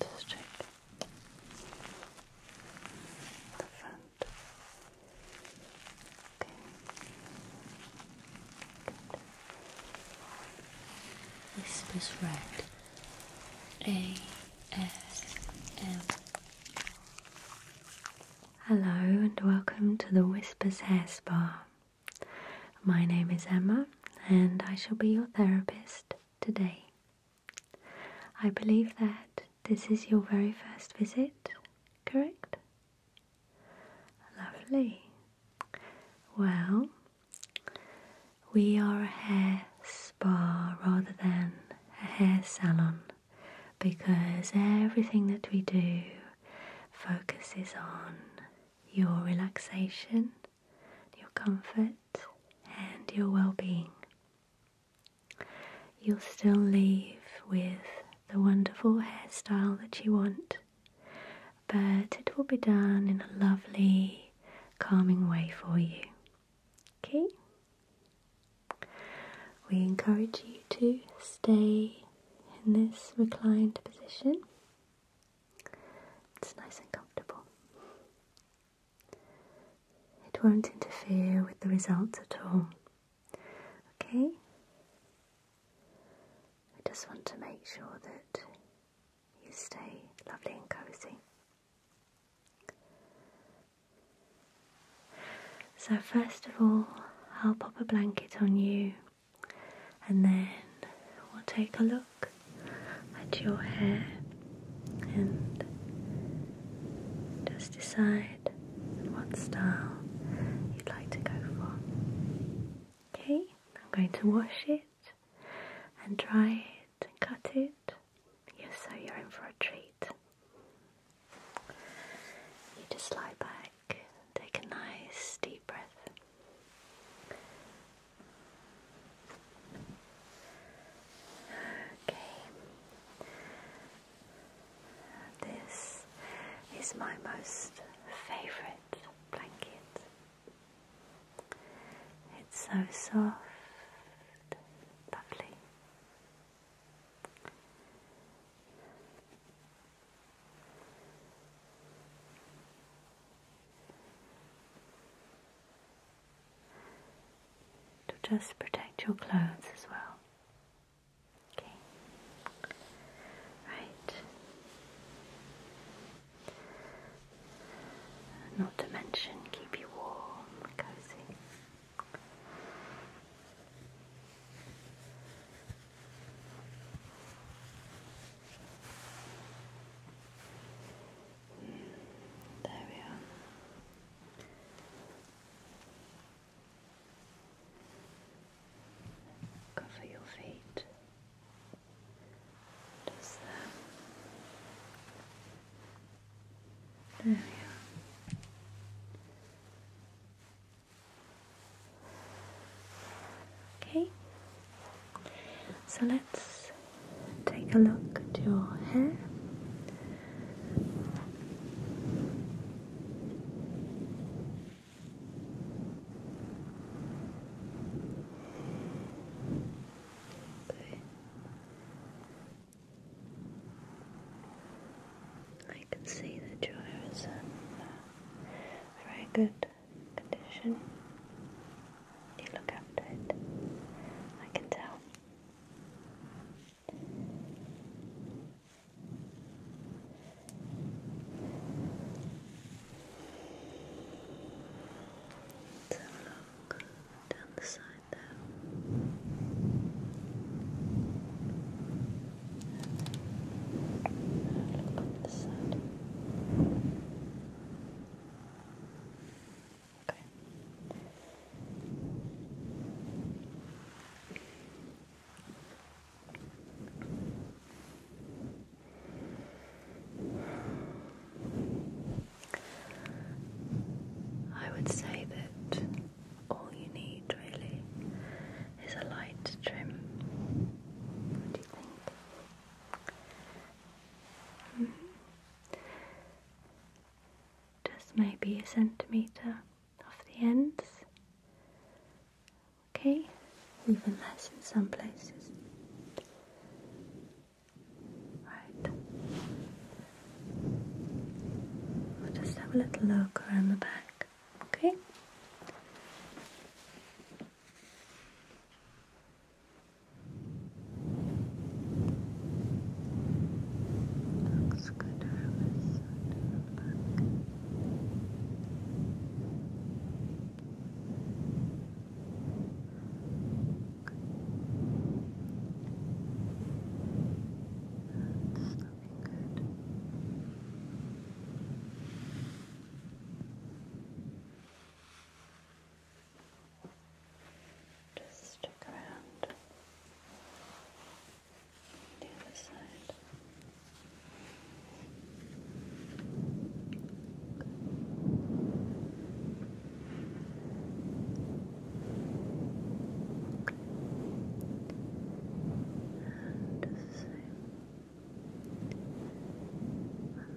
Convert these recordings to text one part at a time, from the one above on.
Just check Okay. Good. This is red. A S M. Hello and welcome to the Whispers Hair Spa. My name is Emma, and I shall be your therapist today. I believe that this is your very first visit, correct? Lovely. Well, we are a hair spa rather than a hair salon because everything that we do focuses on your relaxation your comfort, and your well being. You'll still leave with the wonderful hairstyle that you want, but it will be done in a lovely, calming way for you. Okay? We encourage you to stay in this reclined position it's nice and comfortable. It won't interfere with the results at all. Okay? I just want to make sure that you stay lovely and cozy. So, first of all, I'll pop a blanket on you and then we'll take a look look at your hair and just decide what style you'd like to go for. Okay, I'm going to wash it and dry it and cut it. Yes, so you're in for a treat. You just lie back, take a nice deep breath. Okay. This is my most favorite blanket. It's so soft, lovely to just protect your clothes as well. Okay. Right. Not to mention keep you warm, cozy. There we are. Cover your feet. There we are. Okay, so let's take a look at your hair. I can see that your hair is um, very good condition. You look after it. I can tell. Let's down the side there. look on the side. Okay. I would say that all you need really is a light trim. What do you think? Just maybe a centimetre off the ends. Okay, even less in some places. Right. We'll just have a little look around the back. Okay. Looks good from this side of the back. Good. That's looking good. Good. Just stick around the other side. And the same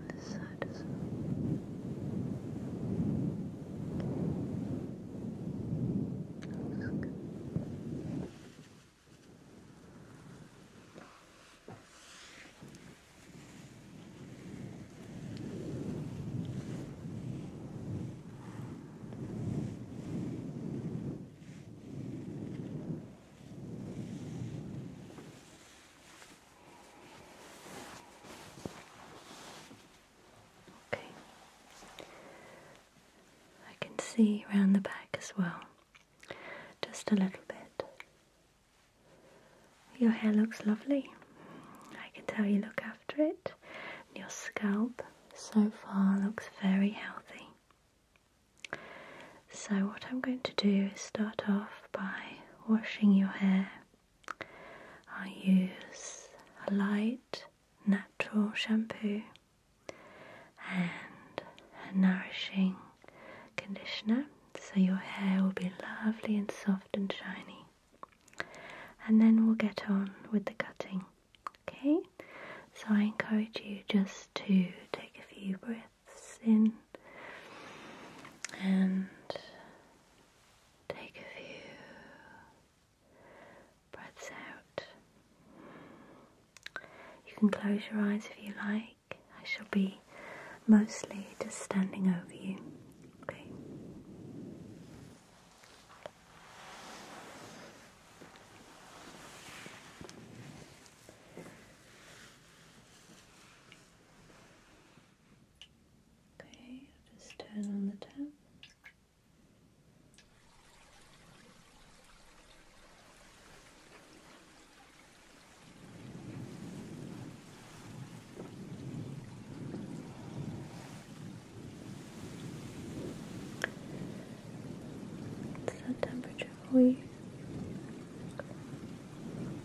this side as well. Look. Good. Okay. I can see around the back as well, just a little bit. Your hair looks lovely. I can tell you look after it. Your scalp so far looks very healthy. So, what I'm going to do is start off by washing your hair I use a light natural shampoo and a nourishing conditioner so your hair will be lovely and soft and shiny. And then we'll get on with the cutting. Okay? So I encourage you just to take a few breaths in and Take a few breaths out. You can close your eyes if you like. I shall be mostly just standing over you. Okay. Okay, just turn on the tap. What's that temperature for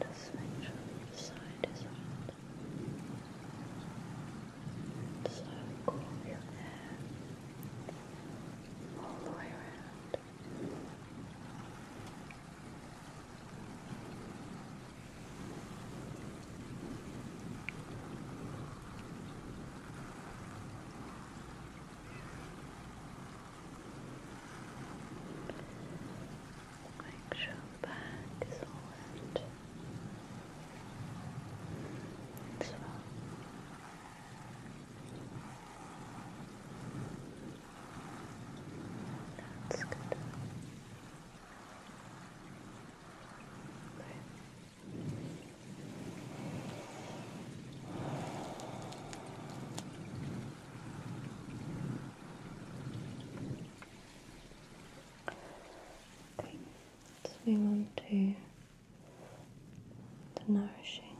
Just make the side is on. So cool your hair all the way around. Make sure that is all wet as well. Let's move on to the nourishing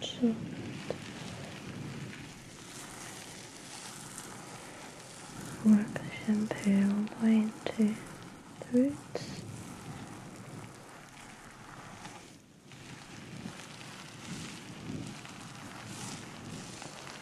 Excellent. Work the shampoo into the roots.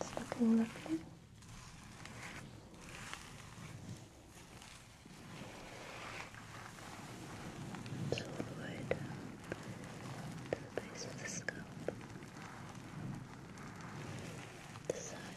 It's looking lovely. all the way down to the base of the scalp. The side.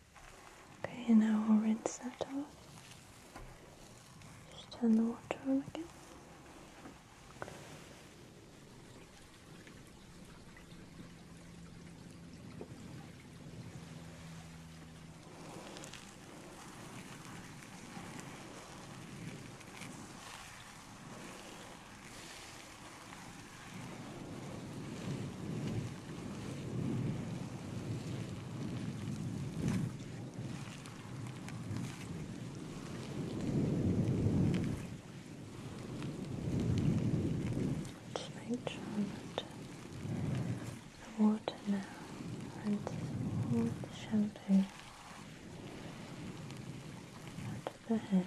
Okay, and now we'll rinse that off. Just turn the water on again. Just make sure the water now runs all shampoo out the hair.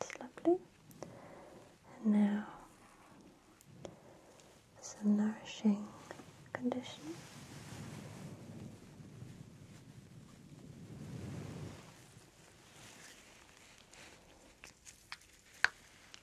it's lovely. And now some nourishing condition.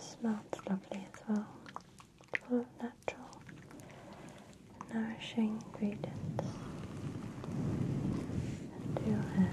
smells lovely as well, full of natural, nourishing ingredients into your hair.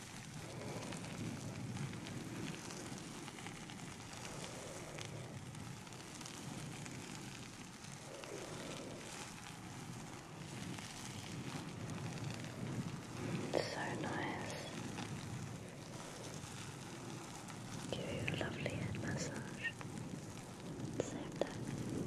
It's so nice. Give you a lovely head massage. Save that. Good.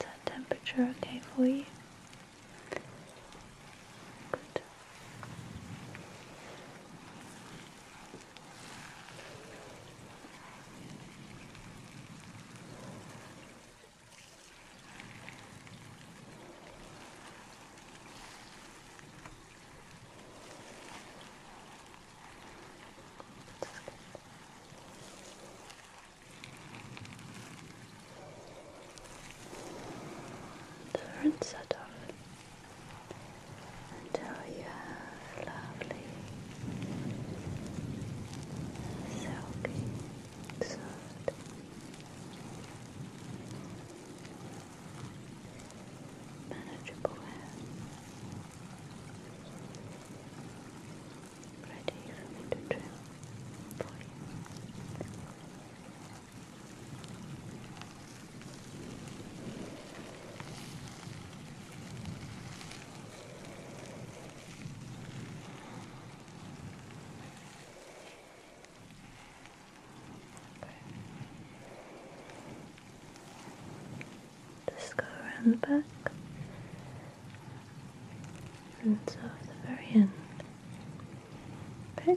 that temperature okay for you? Good. Different set until you have lovely, silky, soft manageable hair ready for me to trim for you just go around the back and so the very end. Okay.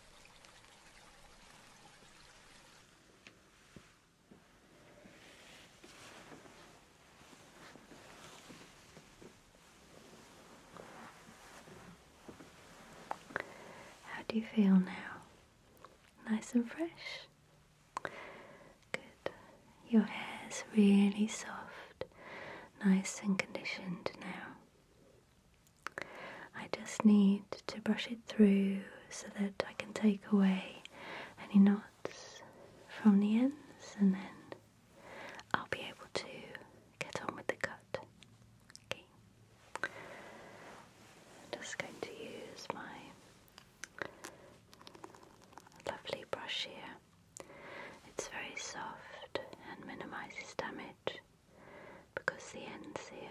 How do you feel now? Nice and fresh? Good. Your is really soft, nice and conditioned now. I just need to brush it through so that I can take away any knots from the ends and then I'll be able to get on with the cut. Okay. just going to use my lovely brush here. It's very soft and minimises damage because the ends here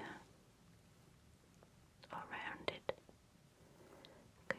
are rounded. Okay.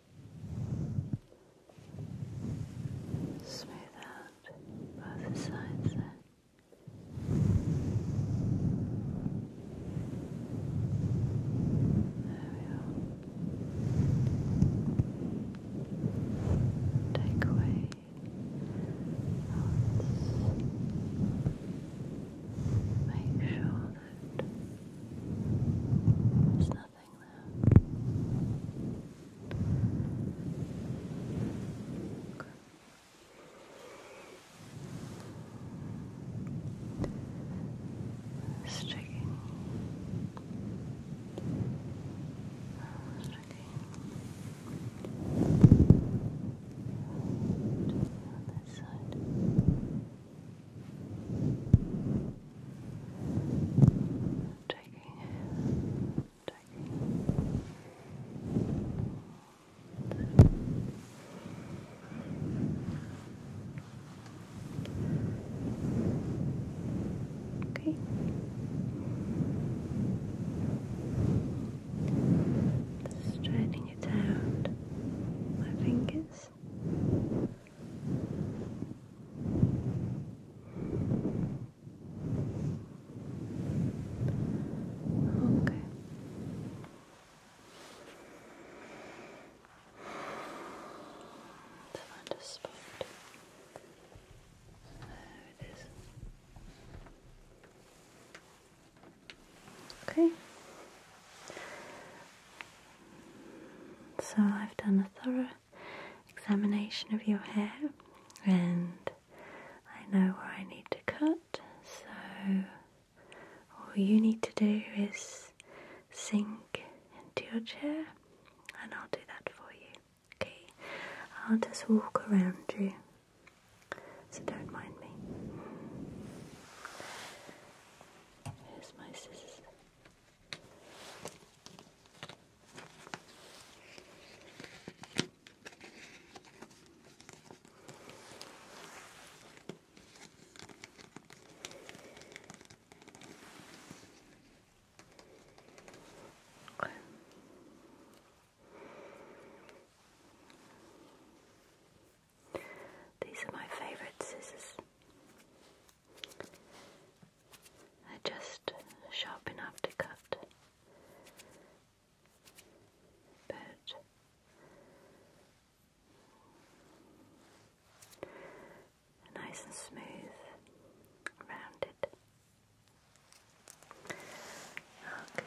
Smooth out both sides there. we are. Take away Make sure that there's nothing nothing left. Okay. Just checking. Just checking. And on that side. Checking in, Okay. Just it out. My fingers. Okay. Let's find a spot. There it is. Okay. So I've done a thorough examination of your hair and I know where I need to cut so all you need to do is sink into your chair and I'll do that for you. Okay, I'll just walk around you so don't mind me. Here's my scissors. These are my favorite scissors they just sharp enough to cut, but nice and smooth, rounded. Okay.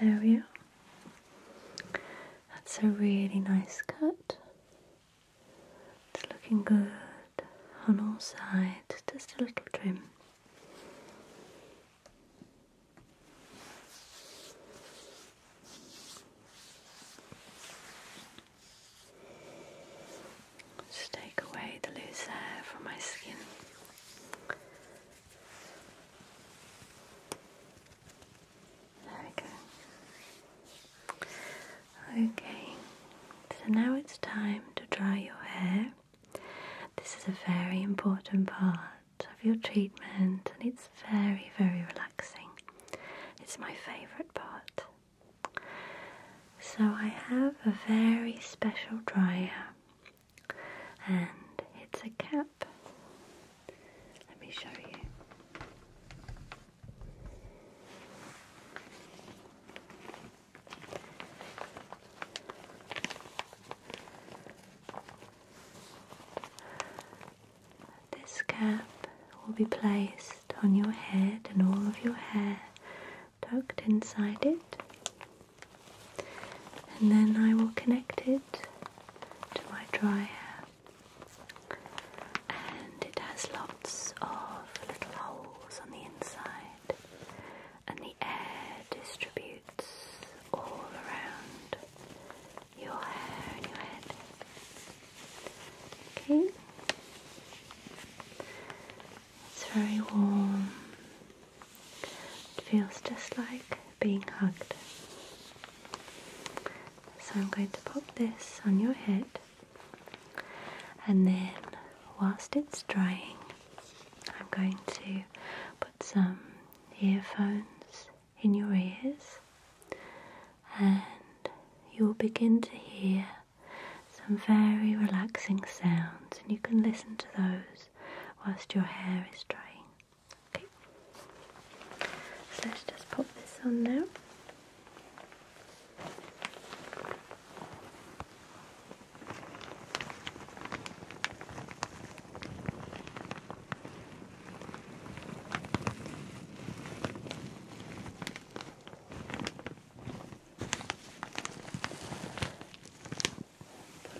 There we go. That's a really nice cut. It's looking good on all sides, just a little trim. Just take away the loose hair from my skin. There we go. Okay, so now it's time to dry your hair. This is a very important part of your treatment and it's very, very relaxing. It's my favourite part. So, I have a very special dryer and it's a cap. Let me show you. This cap will be placed on your head and all of your hair tucked inside it, and then I will connect it to my dryer and it has lots of little holes on the inside, and the air distributes all around your hair and your head. Okay, it's very warm. It feels just like being hugged. So I'm going to pop this on your head and then whilst it's drying I'm going to put some earphones in your ears and you'll begin to hear some very relaxing sounds and you can listen to those whilst your hair is drying. Okay. So let's just pop this on now. Put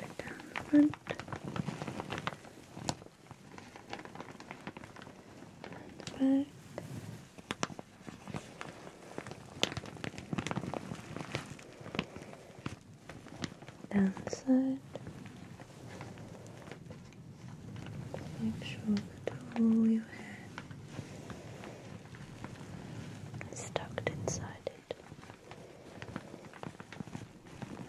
it down the front. And the back downside. Make sure that all your hair is inside it.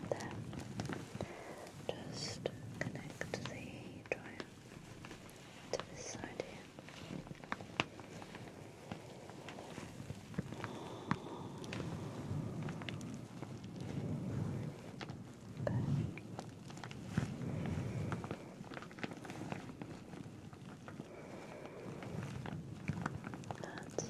Then just connect the dryer to this side here. Okay. That's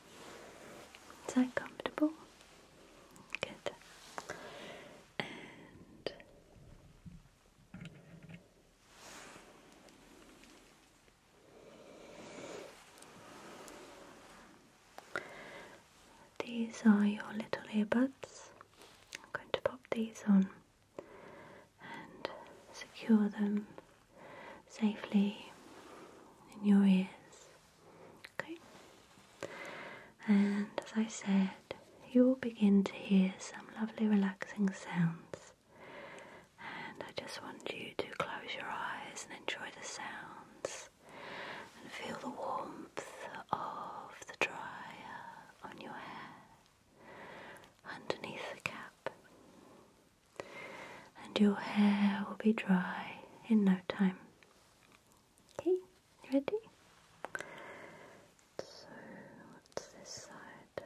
Is that comfortable? Good. And these are your little earbuds. I'm going to pop these on and secure them safely in your ears. Okay? And as I said, you will begin to hear some lovely relaxing sounds. And I just want you to close your eyes and enjoy the sounds and feel the warmth of the dryer on your hair underneath the cap and your hair will be dry in no time. Okay, ready? So, this side?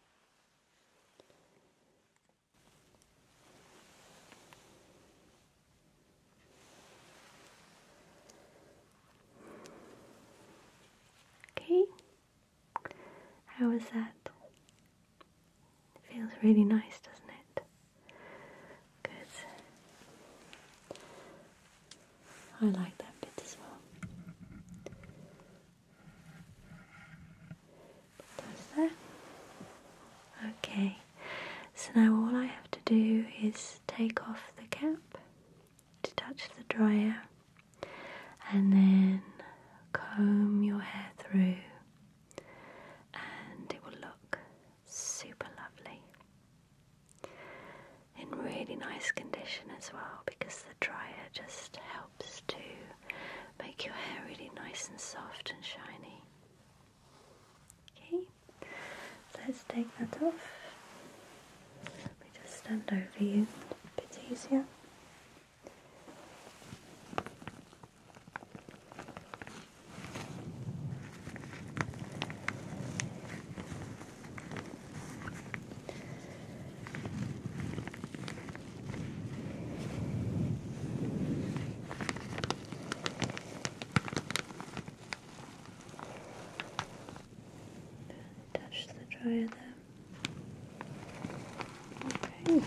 Okay, How was that? Feels really nice, doesn't it? Good. I like that bit as well. Okay, so now all I have to do is take off the cap, touch the dryer, and then comb your hair through, and it will look super lovely in really nice condition as well because the dryer just helps to make your hair really nice and soft and shiny. Okay, so let's take that off. Let me just stand over you a bit easier. Touch the dryer there. Okay.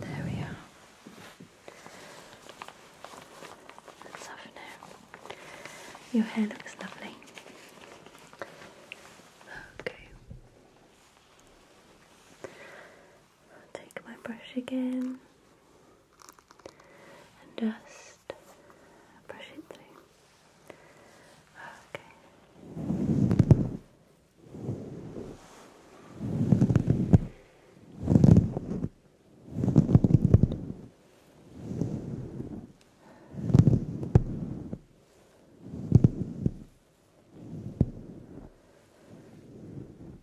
There we are. Let's have now. Your hair looks lovely. Okay. take my brush again and just brush it Okay.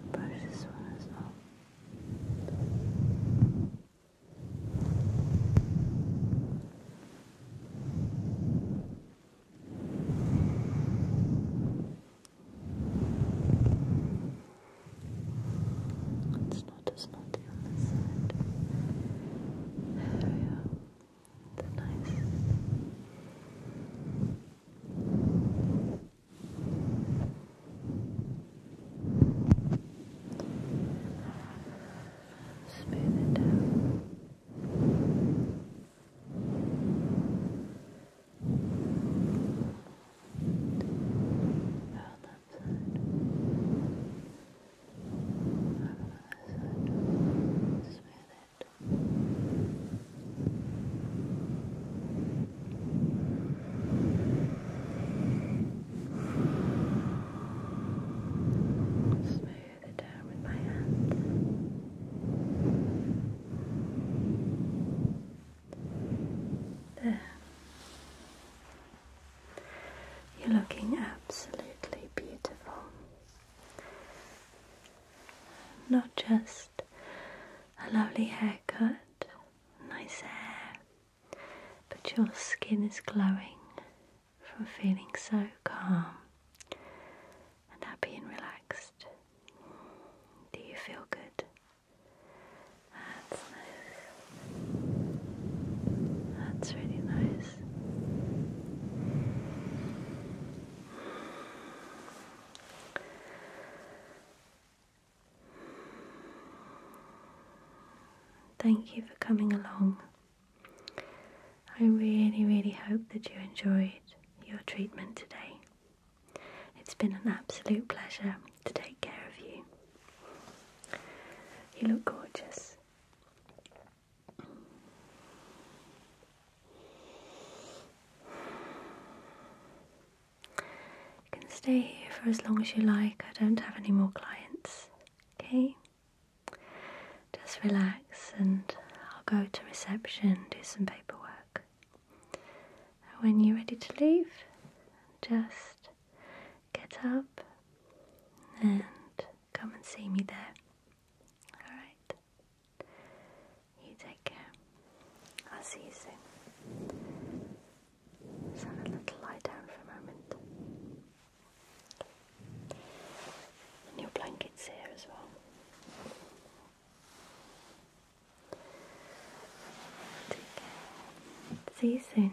And brush one as well. It's not as naughty on this side. There we are. nice. Smooth it out. Around that side. Around that side. Smooth it Smooth it down with my hand. There. You're looking absolutely beautiful. Not just a lovely haircut, nice hair, but your skin is glowing from feeling so calm and happy and relaxed. Do you feel good? That's nice. That's really nice. Thank you for coming along. I really, really hope that you enjoyed your treatment today. It's been an absolute pleasure to take care of you. You look gorgeous. You can stay here for as long as you like. I don't have any more clients. Okay? Just relax and I'll go to reception, do some paperwork. when you're ready to leave, just get up and come and see me there. Alright. You take care. I'll see you soon. let a little lie down for a moment. your blanket's here as well. Take care. See you soon.